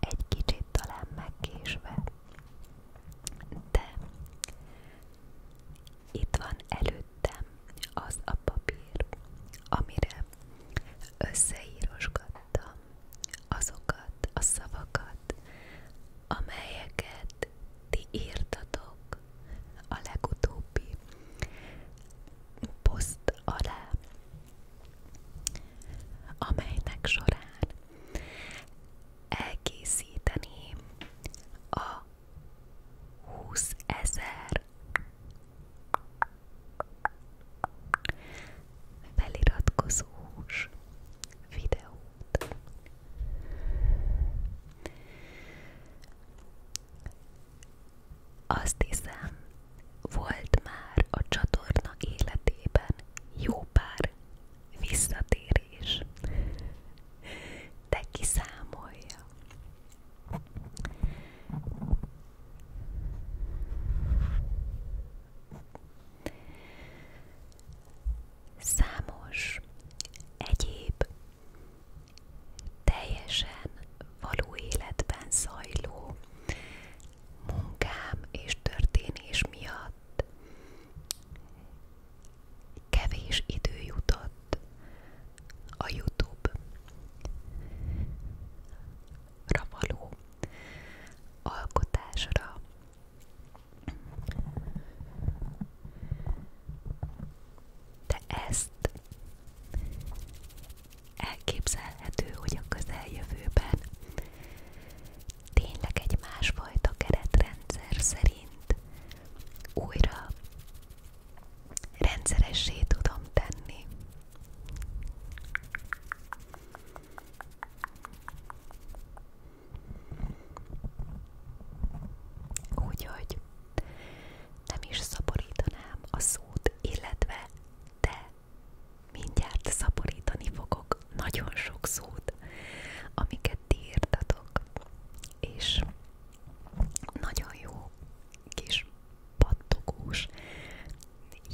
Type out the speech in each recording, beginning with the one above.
Egy kicsit talán megkésve, de itt van előttem az a papír, amire összeírosgattam azokat a szavakat, amelyeket írtatok a legutóbbi poszt alá, amelynek során elkészíteni a 20 ezer feliratkozós videót. Azt hiszem, volt már a csatorna életében jó pár visszatérés, de kiszámolja. Számos egyéb teljesen való életben munkám és történés miatt kevés idő jutott a youtube való alkotásra. De ezt Elképzelhető, hogy a közeljövőben tényleg egy másfajta keretrendszer szerint újra rendszeressé tudom tenni. Úgyhogy nem is szaporítanám a szót, illetve de mindjárt szaporítani fogok nagyon sok szót, amiket ti írtatok, és nagyon jó kis pattogós,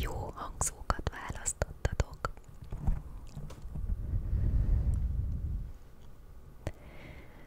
jó hangzókat választottatok.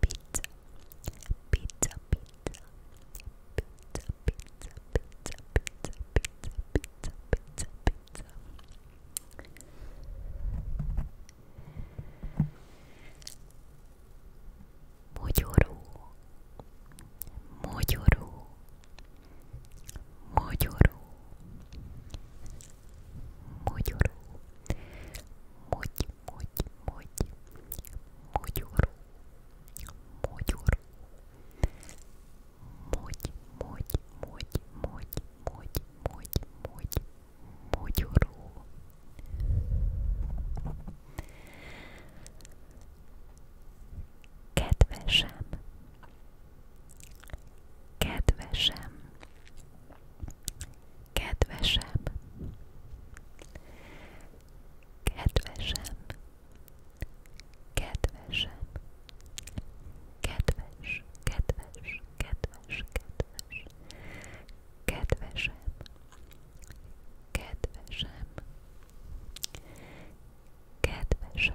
pizza, pizza, pizza, pizza, pizza, pizza, pizza, pizza, pizza, pizza, pizza. Moyorú, moyorú, moyorú, moyorú, moyorú, mogy, mogy, mogyor, mogyor, mogy, mogy, mogy, mogy, mogy, mogy, mogy, mogyoró. Kedvesem, kedvesem, Kedvesem, kedvesem, kedvesem, kedves, kedves, kedves, kedves, kedvesem, kedvesem, kedvesem, kedvesem.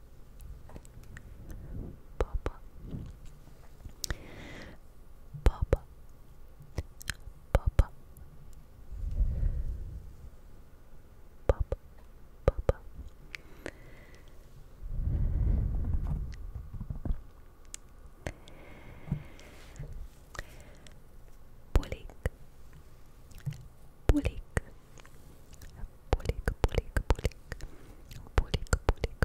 Papa, Papa, Papa, Papa, Papa. Pulik, pulik, Pulik, pulik, pulik. Pulik, pulik, pulik.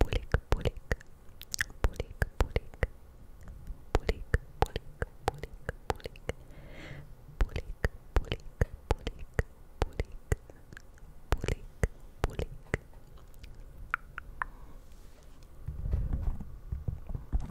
Pulik, pulik. Pulik, pulik. Pulik, pulik, pulik, pulik. Pulik, pulik, pulik, pulik. Pulik, pulik.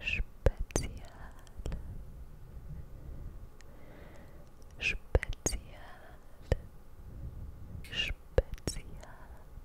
Spezial Spezial Spezial Spezial Spezial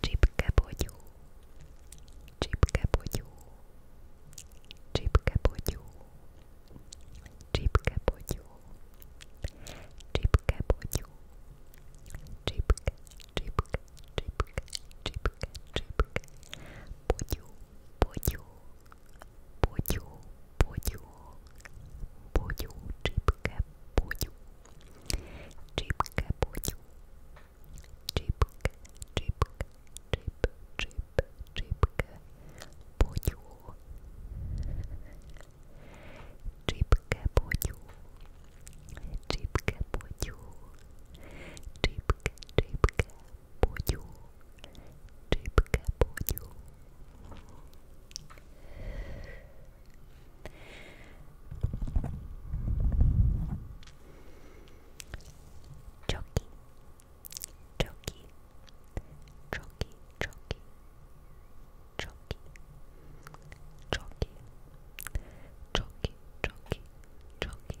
Csipke bogyó, csipke bogyó, csipke bogyó, csipke bogyó, csipke bogyó, csipke, csipke, csipke, csipke, csipke, bogyó, bogyó. Бодю, бодю, бодю, чипке, бодю, чипке, бодю, чипке, чипке, чип, чип, чипке, бодю, чипке, бодю, чипке, бодю, чипке, чипке, buju, szybkie buju. Czoki, czoki, czoki, czoki, czoki, czoki, czoki, czoki, czoki,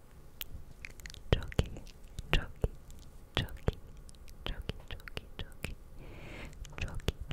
Chucky, Chucky, Chucky, Chucky, Chucky, Chucky, Chucky, Chucky, Chucky,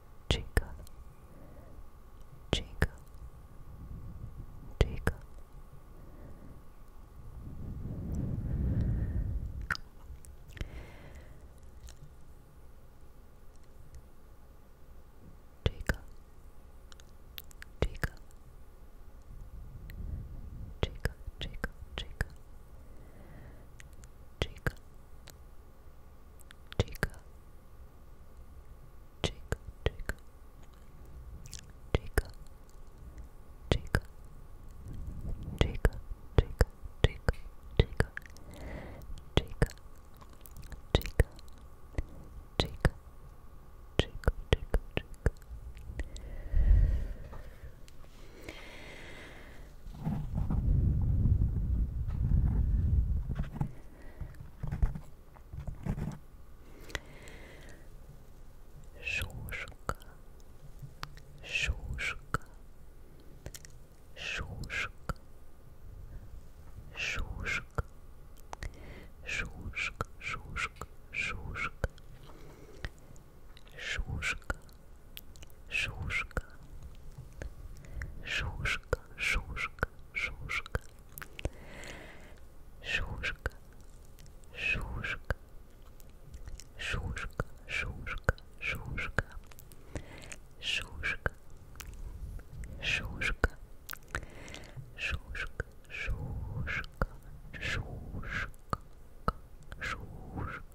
Jacob, Jacob, Jacob. Jacob, Jacob, Jacob, Jacob, Jacob, Jacob, Chica, Chica, Chica, Chica, Chica, Chica, Chica, Chica, Chica, Chica, Chica, Chica, Chica, Chica, Chica. Шушка, шушка, шушка, шушка, шушка, шушка, шушка, Шушка, шушка, шушка, шушка, шушка, шушка, шушка, шушка, шушка, шушка, шушка, шушка, шушка, шушка, шушка, шушка.